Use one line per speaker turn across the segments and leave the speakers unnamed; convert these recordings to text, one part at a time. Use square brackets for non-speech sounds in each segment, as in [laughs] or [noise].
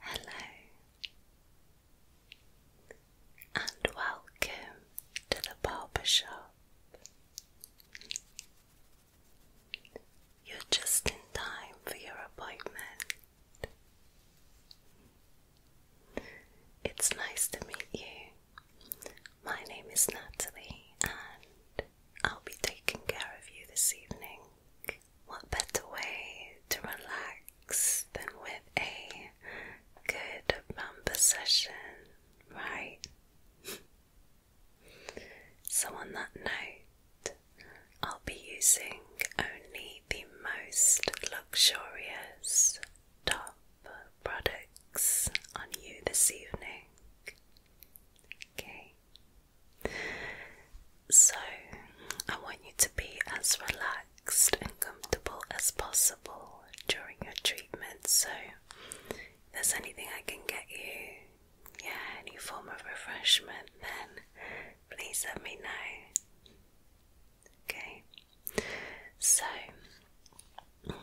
Hello and welcome to the barber shop. You're just in time for your appointment. It's nice to meet you. My name is Natalie, and I'll be taking care of you this evening. What better way to relax than with a good rumba session, right? [laughs] so, on that note, I'll be using only the most luxurious top products on you this evening. Okay. So, I want you to be as relaxed and comfortable as possible during your treatment. So, if there's anything I can get you, yeah, any form of refreshment, then please let me know. Okay, so I'm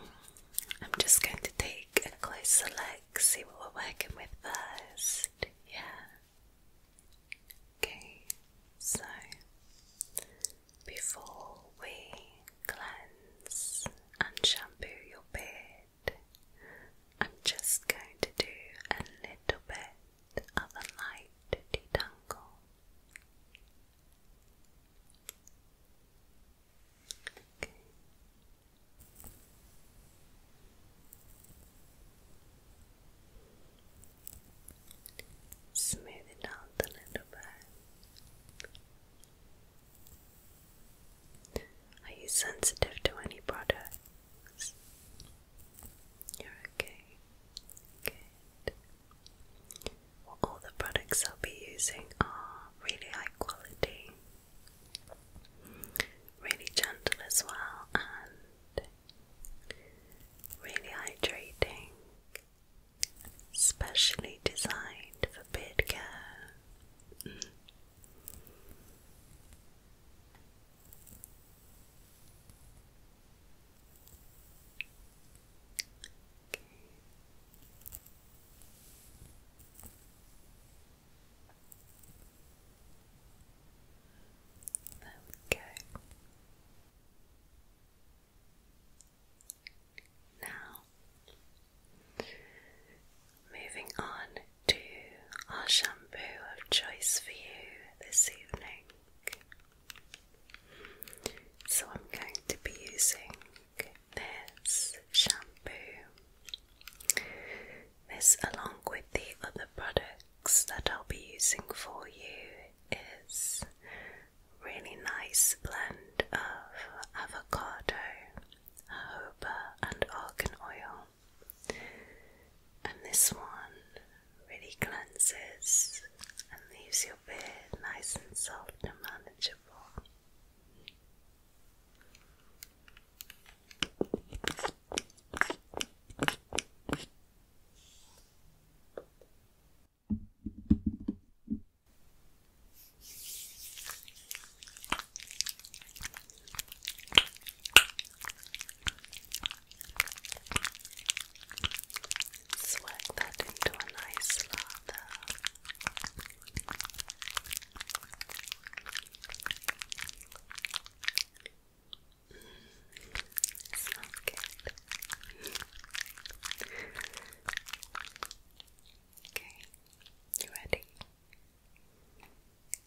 just going to take a closer look, see what we're working with first. Yeah. Okay, so before we cleanse and shampoo your beard, I'm just going to do a little bit the other light detangle. Smooth it out a little bit. Are you sensitive to any product? You're okay. Good. all the products I'll be using are really high quality, really gentle as well, and really hydrating, specially designed for beard care. Mm. Okay. There we go. Now, moving on to our shampoo of choice for you this evening. So, I'm going to be using this shampoo. This, along with the other products that I'll be using for you, is really nice blend of avocado, jojoba, and argan oil. And this one really cleanses and leaves your beard nice and soft and manageable. Swag that into a nice lather. Mm, smells good. okay, you ready?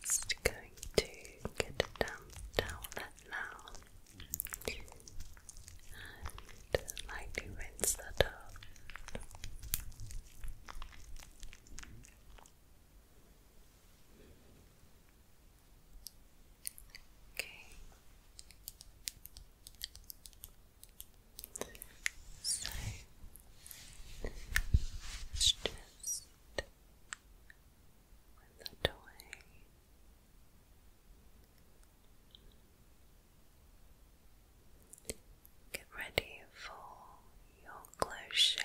Just going to get a damp towelette now and lightly rinse that off. Okay. So let just Get ready for your close shave.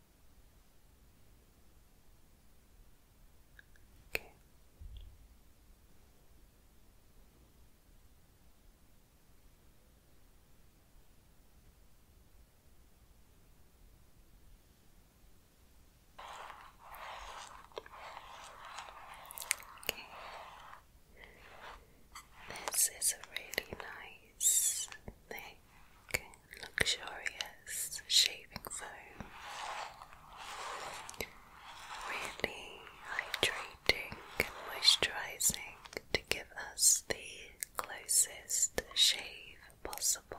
Okay. Okay. This is a really nice neck luxurious shaving foam. Really hydrating and moisturizing to give us the closest shave possible.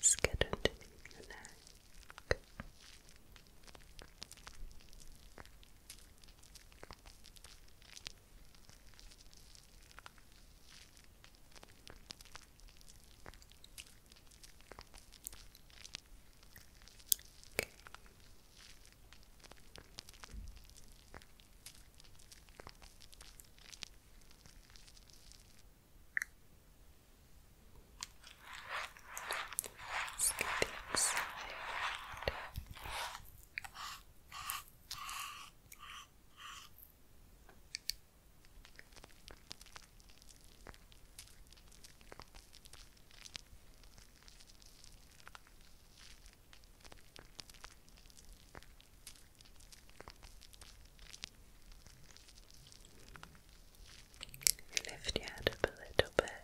scattered in your neck. Okay. Good. Let's get inside. Good. Lift your head up a little bit.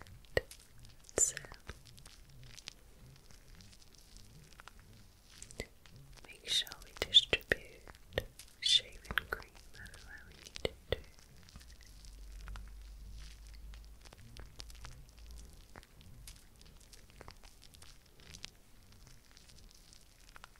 make sure we distribute shaving cream everywhere we need to.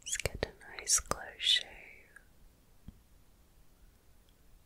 Let's get a nice close shave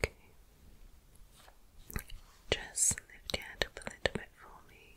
Okay. Just lift your head up a little bit for me.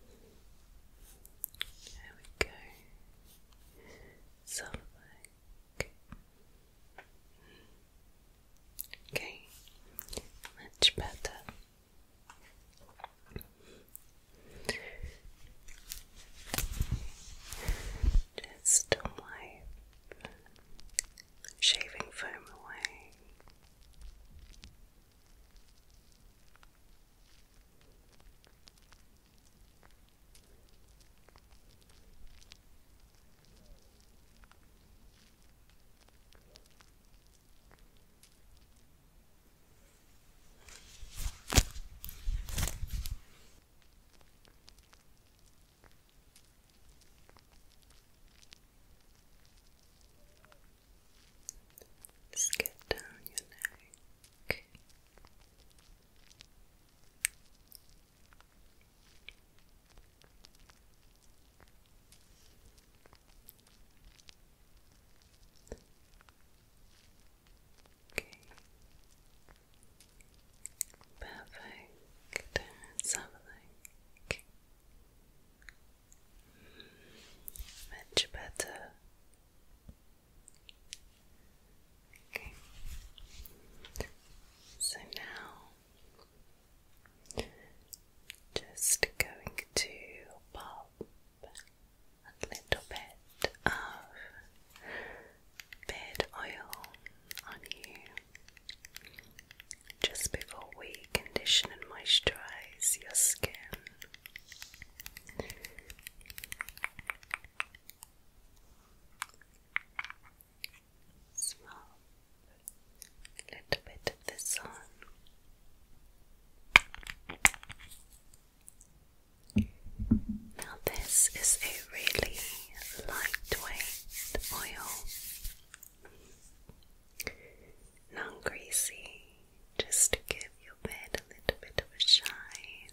There we go. Something. Okay, much better. Just wipe shaving foam away. Just get down your neck. Okay. Perfect. Let's Much better. So now just going to pop a little bit of bed oil on you just before we condition and moisturize your skin smell a little bit of this on. Now, this is a really lightweight oil, non greasy, just to give your bed a little bit of a shine.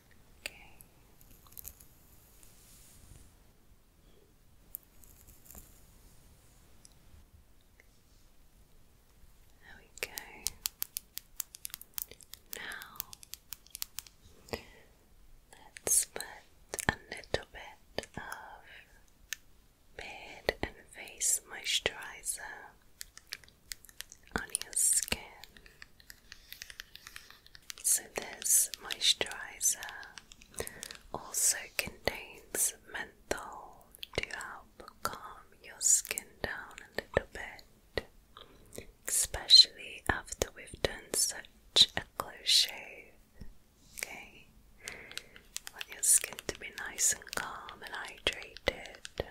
Okay. There we go. Now let's put a little bit of beard and face moisturizer on your skin. So, this moisturizer also contains menthol to help calm your skin down a little bit, especially after we've done such a close shave. Okay, want your skin to be nice and calm and hydrated.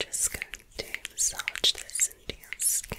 So just going to massage this into your skin.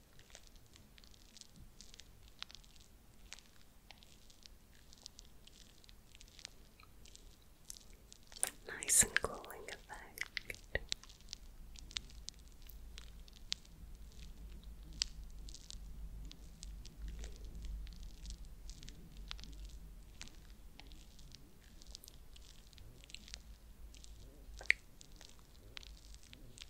Nice and cooling effect.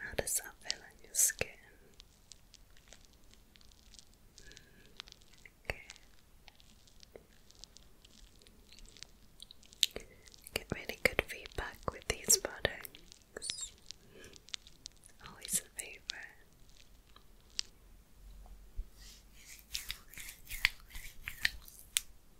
How does that feel on your skin? Mm, Get really good feedback with these products. Always a favourite.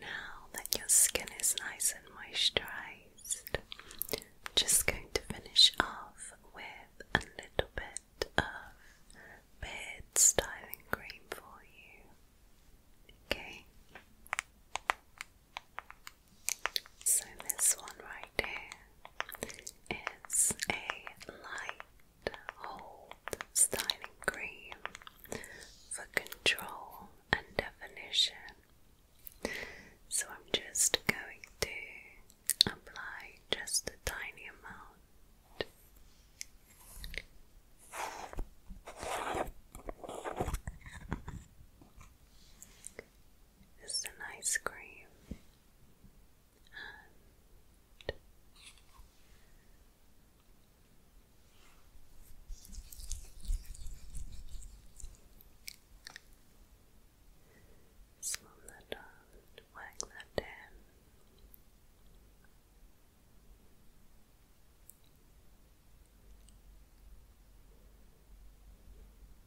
Now that your skin is nice and moisturized, I'm just going to finish off with a little bit of beard styling cream for you. Okay. So this one right here is a light hold styling cream for control and definition. So I'm just going to apply just a tiny amount is an ice cream and um, that down, whack that down.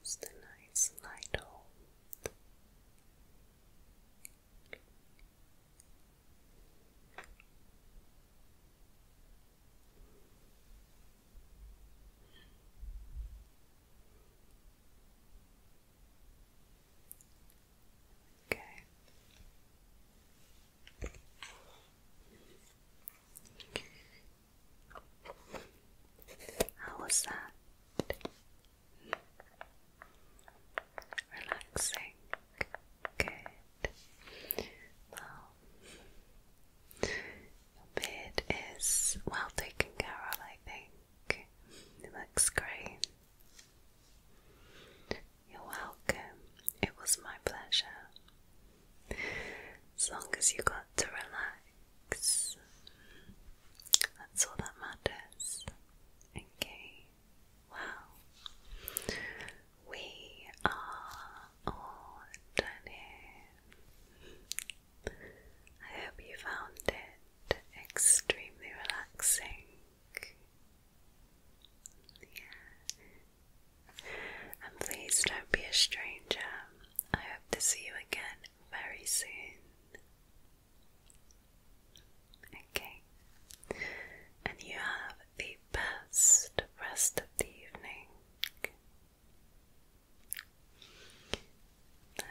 It's the nice light hold. Okay. How was that? Relaxing. Good. Well, your beard is well taken care of, I think. It looks great. You're welcome. It was my pleasure. As long as you got to relax, that's all that matters. Okay, well, we are all done here. I hope you found it extremely relaxing. And please don't be a stranger. I hope to see you again very soon. Okay. And you have the best rest of the evening. Bye.